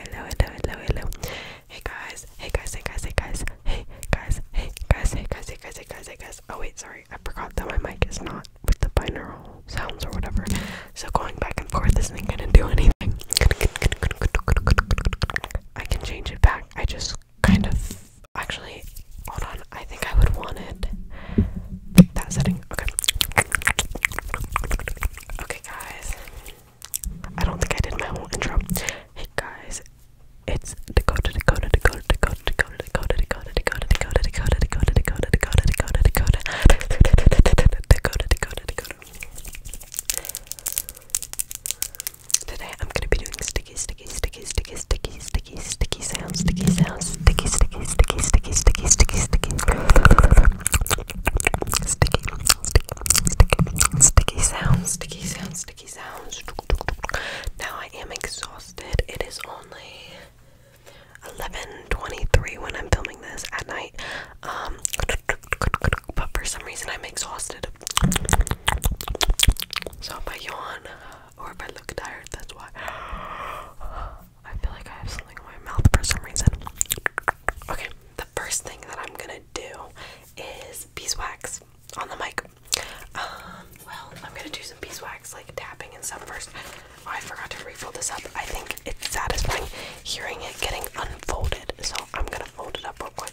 hey guys, hey guys, hey guys, hey guys, hey guys, hey guys, hey guys, hey guys, hey guys. Oh wait, sorry, I forgot that my mic is not with the binaural sounds or whatever. So going back and forth isn't gonna do anything. I can change it back. I just kind of actually hold on. I think I would want it that setting. Okay. Okay guys. I don't think I did my whole intro. Hey guys, it's Dakota, Dakota, Dakota, Dakota, Dakota, Dakota, Dakota, Dakota, Dakota, Dakota, Dakota, Dakota, Dakota, Dakota, Dakota, Dakota, Dakota, Dakota. Today I'm gonna be doing sticky, sticky, sticky, sticky, sticky, sticky, sticky sounds, sticky sounds, sticky, sticky, sticky, sticky, sticky, sticky, sticky sticky, sticky, sticky sounds, sticky sounds, sticky sounds. Now I am exhausted. It is only 11:23 when I'm filming this at night. Um, but for some reason I'm exhausted. So if I yawn or if I look tired, that's why. I feel like I have something in my mouth for some reason. Okay, the first thing that I'm gonna do is beeswax on the mic. Um, well, I'm gonna do some beeswax, like tapping and stuff first. Oh, I forgot to refold this up. I think it's satisfying hearing it getting unfolded, so I'm gonna fold it up real quick.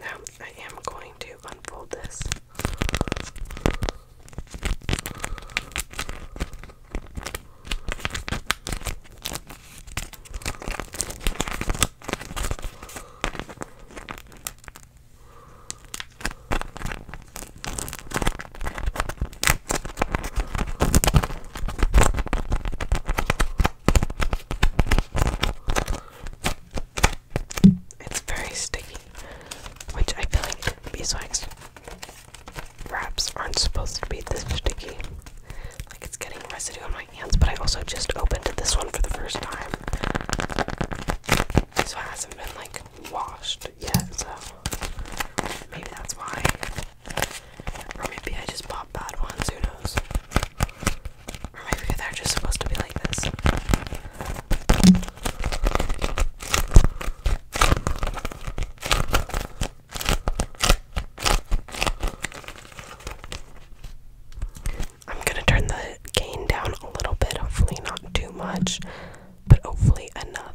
Now I am going to unfold this. It's very sticky, which I feel like beeswax wraps aren't supposed to be this sticky. Like it's getting residue on my hands, but I also just opened this one for the first time. So it hasn't been like washed yet, so maybe that's why. Or maybe I just bought bad ones, who knows? I'm gonna turn the gain down a little bit, hopefully, not too much, but hopefully, enough.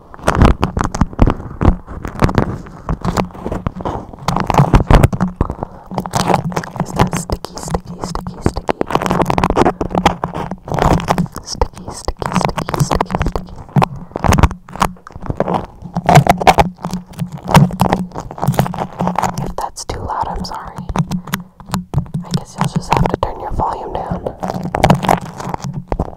Is that sticky, sticky, sticky, sticky? Sticky, sticky, sticky, sticky, sticky. If that's too loud, I'm sorry. I guess you'll just have to turn your volume down.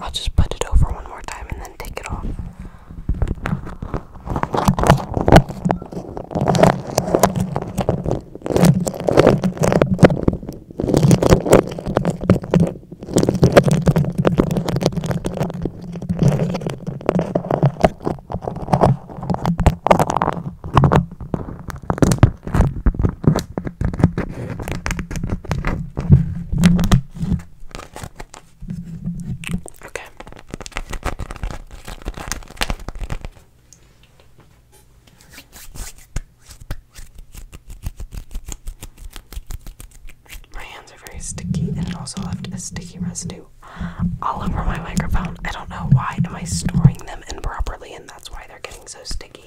I'll just put it over one more time and then take it off. Okay. My hands are very sticky and it also left a sticky residue all over my microphone. I don't know why. Am I storing them improperly and that's why they're getting so sticky.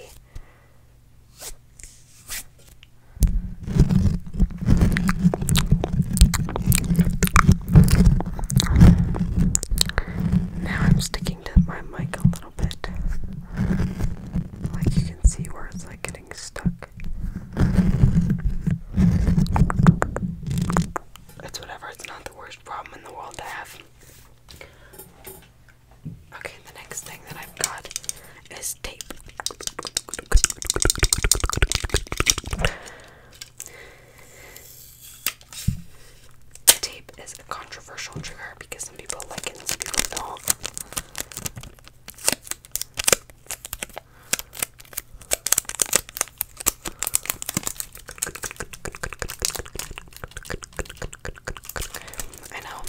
Now I'm sticking to my mic a little bit. Like you can see where it's like getting stuck. It's whatever, it's not the worst problem in the world to have. Okay, the next thing that I've got is tape. Tape is a controversial trigger because some people like it and some people don't. I know.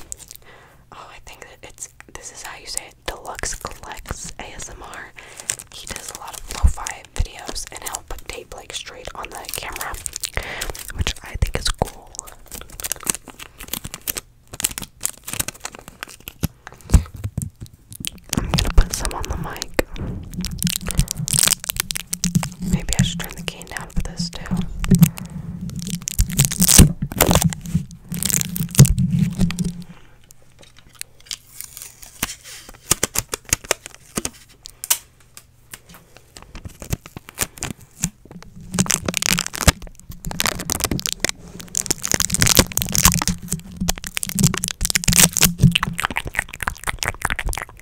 Oh, I think it's this is how you say it. Deluxe collects ASMR. He does a lot of lo-fi videos, and he'll put tape like straight on the camera, which I think is cool. I'm gonna put some on the mic. Maybe I should turn the cane down for this too.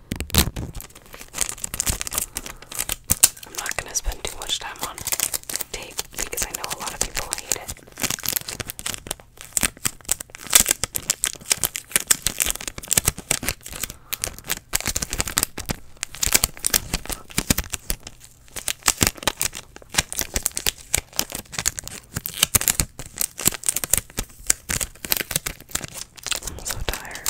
I'm not gonna spend too much time on tape because I know a lot of people hate it. I'm so tired.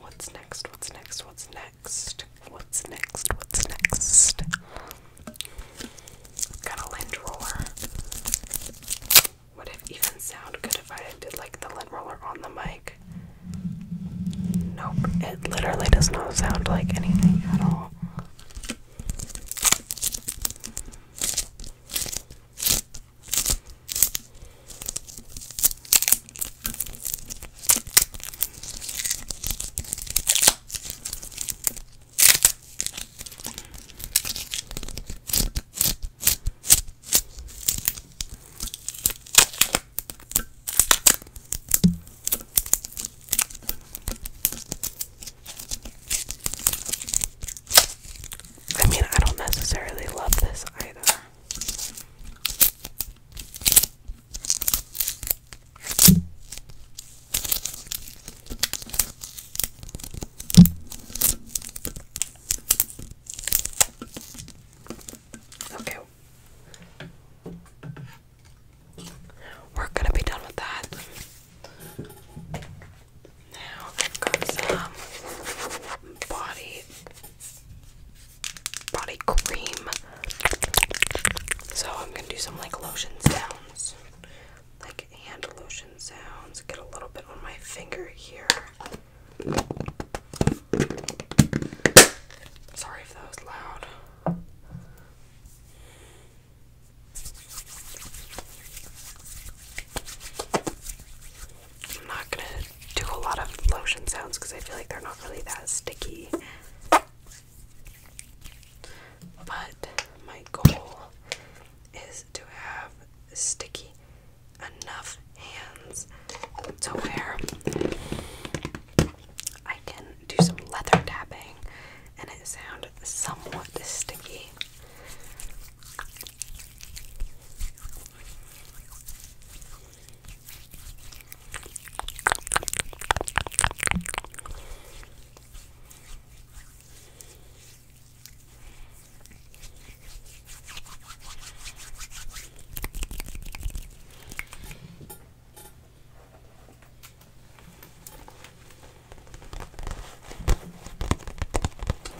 What's next? What's next? What's next? What's next? What's next? Got a lint roller. Would it even sound good if I did like the lint roller on the mic? Nope, it literally does not sound like anything at all. I mean, I don't necessarily love this either. Okay, we're gonna be done with that. Now i some body body cream. So I'm gonna do some like lotion sounds. Like hand lotion sounds. Get a little bit on my finger here. Sorry if that was loud. I'm not gonna do a lot of lotion sounds because I feel like they're not really that sticky. But my goal is to have sticky enough hands to where I can do some leather tapping and it sounds somewhat sticky.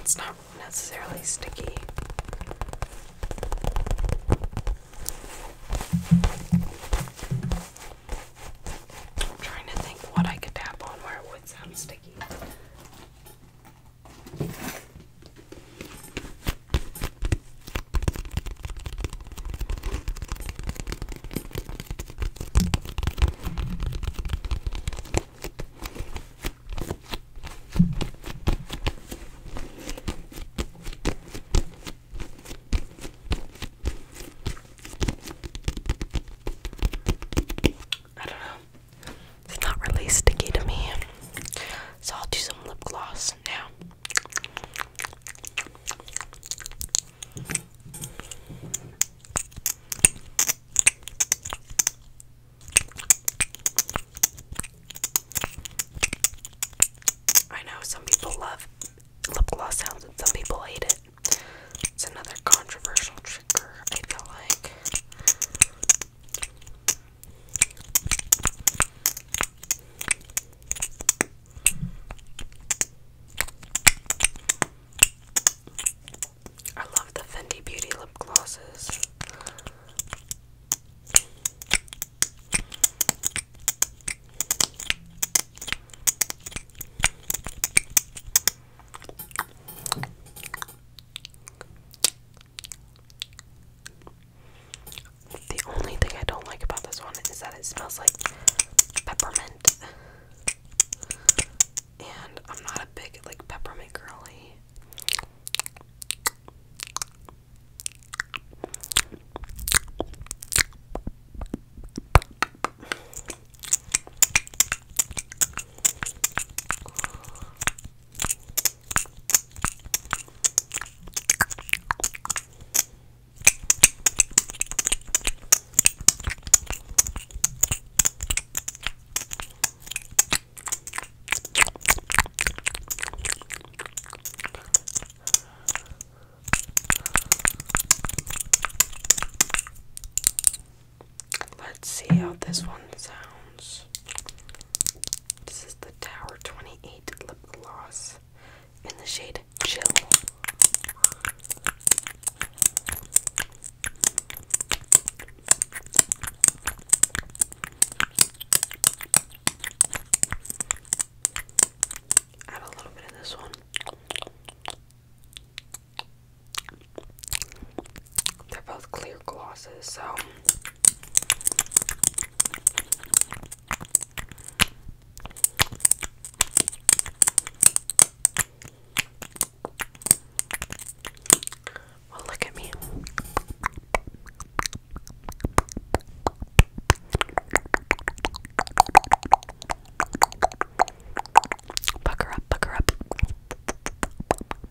It's not necessarily sticky. I'm trying to think what I could tap on where it would sound sticky. I don't know. It's not really sticky to me. So I'll do some lip gloss now. I know some people love lip gloss sounds and some people hate it. It's another controversial trigger, I feel like. I love the Fendi Beauty lip glosses. The only thing I don't like about this one is that it smells like peppermint. And I'm not a big like peppermint girly. Let's see how this one sounds. This is the Tower 28 lip gloss in the shade Chill. Add a little bit of this one. They're both clear glosses, so look at me. Pucker up, pucker up.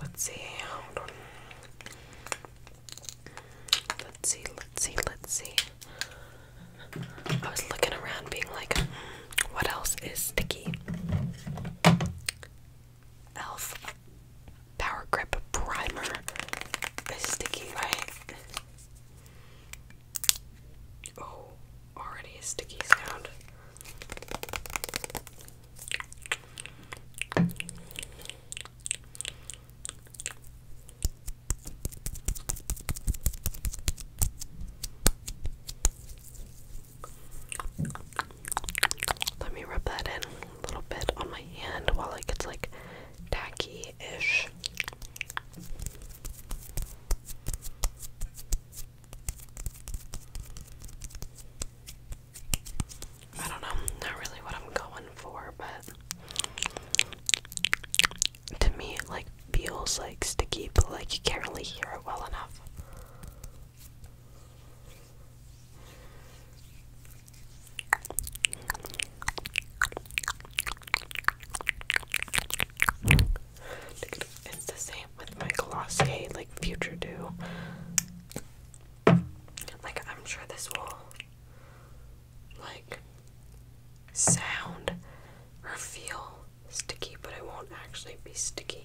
Let's see, Let's see, let's see, let's see. I was looking around being like, what else is sticky? Elf Power Grip Primer. It's sticky, right? Oh, already sticky sound. Let me rub that in a little bit on my hand while it gets like tacky-ish. I don't know, not really what I'm going for, but to me it like feels like sticky, but like you can't really hear it well enough. It's the same with my Glossier, like Future Do. Like, I'm sure this will, like, sound or feel sticky, but it won't actually be sticky.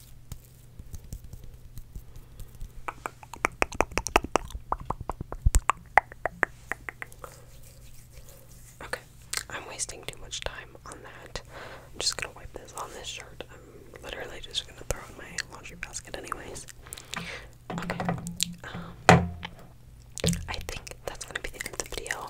Okay, I'm wasting too much time on that. I'm just gonna wipe this on this shirt. I'm literally just gonna throw in my laundry basket, anyways. Okay, um, I think that's gonna be the end of the video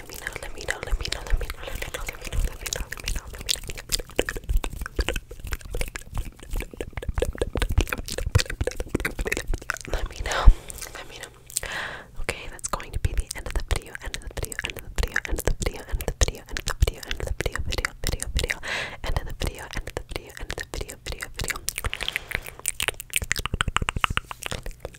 let me know, let me know, let me know, let me know, let me know, let me know, let me know, let me know, let me know. Let me know. Let me know. Okay, that's going to be the end of the video, end of the video, end of the video, end of the video, end of the video, end of the video, end of the video, video, video, video, end of the video, end of the video, end of the video, video, video.